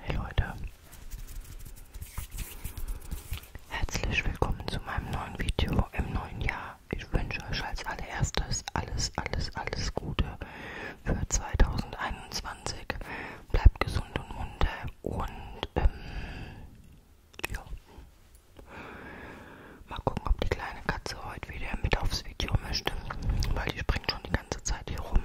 Hey Leute, herzlich willkommen zu meinem neuen Video im neuen Jahr. Ich wünsche euch als allererstes alles, alles, alles Gute für 2021. Bleibt gesund und munter und ähm, ja. Mal gucken, ob die kleine Katze heute wieder mit aufs Video möchte, weil die springt schon die ganze Zeit hier rum.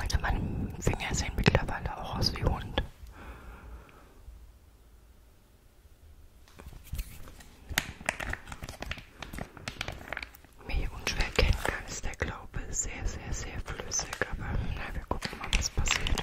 Also meine Finger sehen mittlerweile auch aus wie Hund. Wie unschwer kennen kann, ist der Glaube sehr, sehr, sehr flüssig. Aber na, wir gucken mal, was passiert.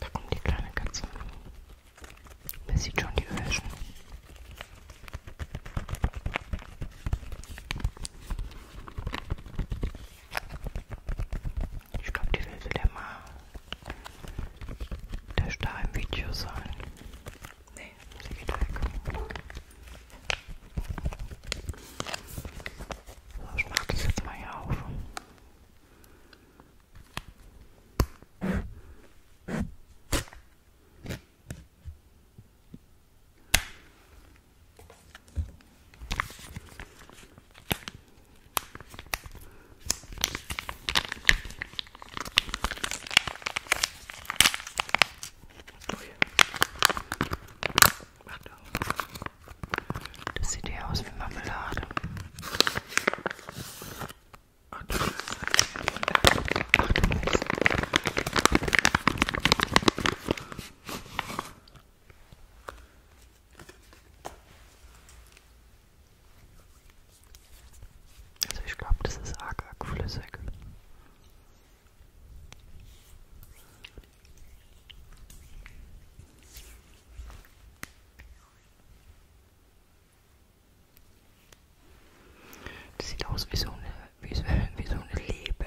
Da kommt die kleine Katze. Man sieht schon die Öhrchen. Ich glaube, die will wieder mal der Star im Video sein. Nee, sie geht weg. So, ich mach das jetzt mal hier auf. Ui. Macht auf. Das sieht ja aus wie Marmelade. Ach du Mist. Also ich glaube, das ist arg, arg flüssig. Das sieht aus wie so eine, wie so, wie so eine Lebe.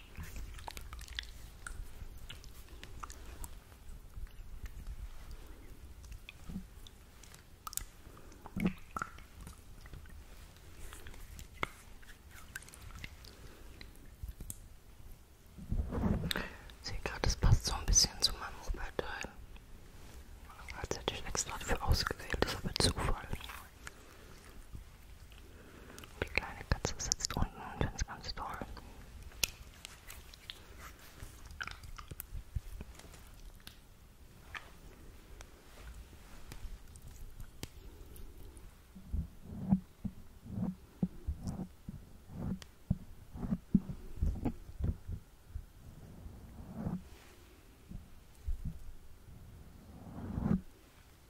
Kakao. Ich sehe gerade, das passt so ein bisschen zu meinem Robert-Teil. Als hätte ich extra dafür ausgewählt, das ist aber Zufall. Die kleine Katze sitzt unten und findet es ganz toll.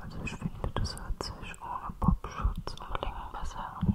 Also ich finde, das hört sich ohne Popschutz unbedingt besser an.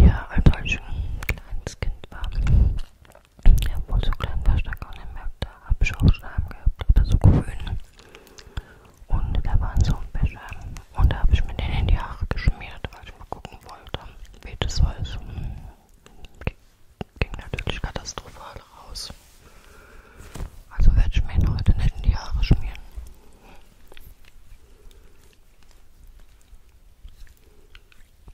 Ja, also als ich ein kleines Kind war, ja, obwohl so klein war ich da gar nicht mehr. Da habe ich auch Schleim gehabt, aber so grün. Und da waren so Wäsche. Und da habe ich mir den in die Haare geschmiert, weil ich mal gucken wollte, wie das war. Es hm, ging natürlich katastrophal raus. Also werde ich mir ihn heute nicht in die Haare schmieren.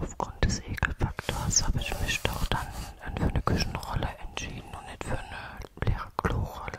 Aufgrund des Ekelfaktors habe ich mich doch dann für eine Küchenrolle entschieden und nicht für eine leere Klorolle.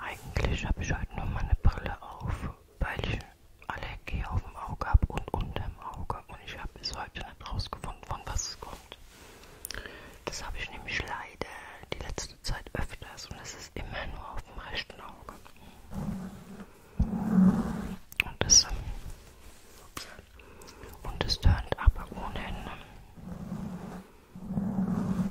Eigentlich habe ich heute nur meine Brille auf, weil ich Allergie auf dem Auge habe und unter dem Auge und ich habe bis heute nicht rausgefunden von, von was es kommt. Das habe ich nämlich leider die letzte Zeit öfters und es ist immer nur auf dem rechten Auge. Und das, ähm, und das turnt aber ohne Ende. Ähm,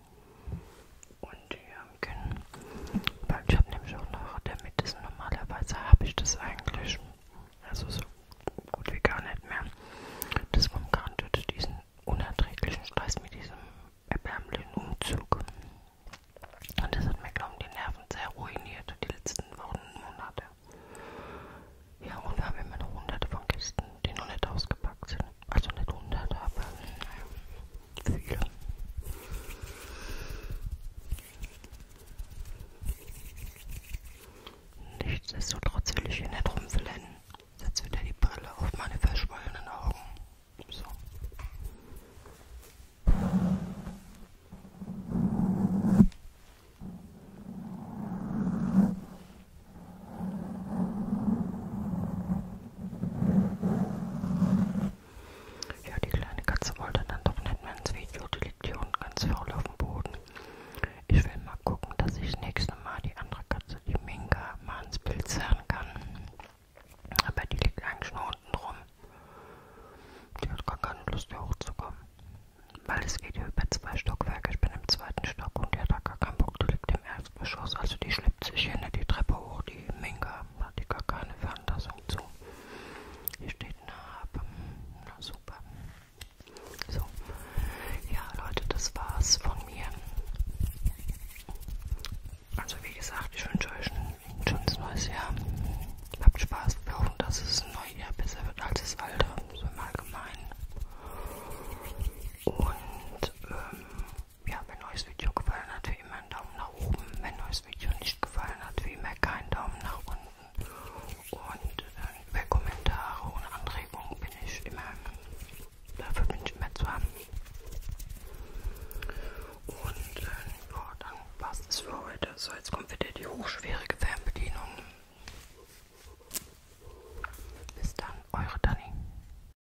und Jürgen. Weil ich habe nämlich auch noch Dermatitis. Normalerweise habe ich das eigentlich, also so gut wie gar nicht mehr. Das Rumkran töte diesen unerträglichen Stress mit diesem erbärmlichen Umzug. Und das hat mir, glaube ich, die Nerven sehr ruiniert die letzten Wochen und Monate. Ja, und wir haben immer noch hunderte von Kisten, die noch nicht ausgepackt sind. Also nicht hunderte, aber naja, viele. Nichtsdestotrotz will ich hier nicht rumflennen. Setz wieder die Brille auf meine verschwollenen Augen. So. Ja, die kleine Katze wollte dann doch nicht mehr ins Video, die liegt hier unten ganz faul auf dem Boden. Ich will mal gucken, dass ich das nächste Mal die andere Katze, die Minka, mal ins Bild zerren kann. Aber die liegt eigentlich nur unten rum. Die hat gar keine Lust, hier hochzukommen. Weil das geht ja über zwei Stockwerke. Ich bin im zweiten Stock und die hat da gar keinen Bock. Die liegt im Erdgeschoss. Also die schleppt sich hinter ne, die Treppe hoch, die Minga. Hat die gar keine Veranlassung zu. Hier steht Narbe. Na super. So. Ja, Leute, das war's von mir. Also wie gesagt, ich wünsche euch ein schönes neues Jahr. Habt Spaß. Wir hoffen, dass es ein neues Jahr besser wird als das alte. So im Allgemeinen. Und ähm, mir hat mein neues Video gefallen hat, wie immer einen Daumen nach oben. Wenn neues Video nicht gefallen hat, wie immer keinen Daumen nach unten. Und äh, über Kommentare und Anregungen bin ich immer, dafür bin ich immer zu haben. Und äh, ja, dann passt es für heute. So, jetzt kommt wieder die hochschwierige Fernbedienung. Bis dann, eure Dani.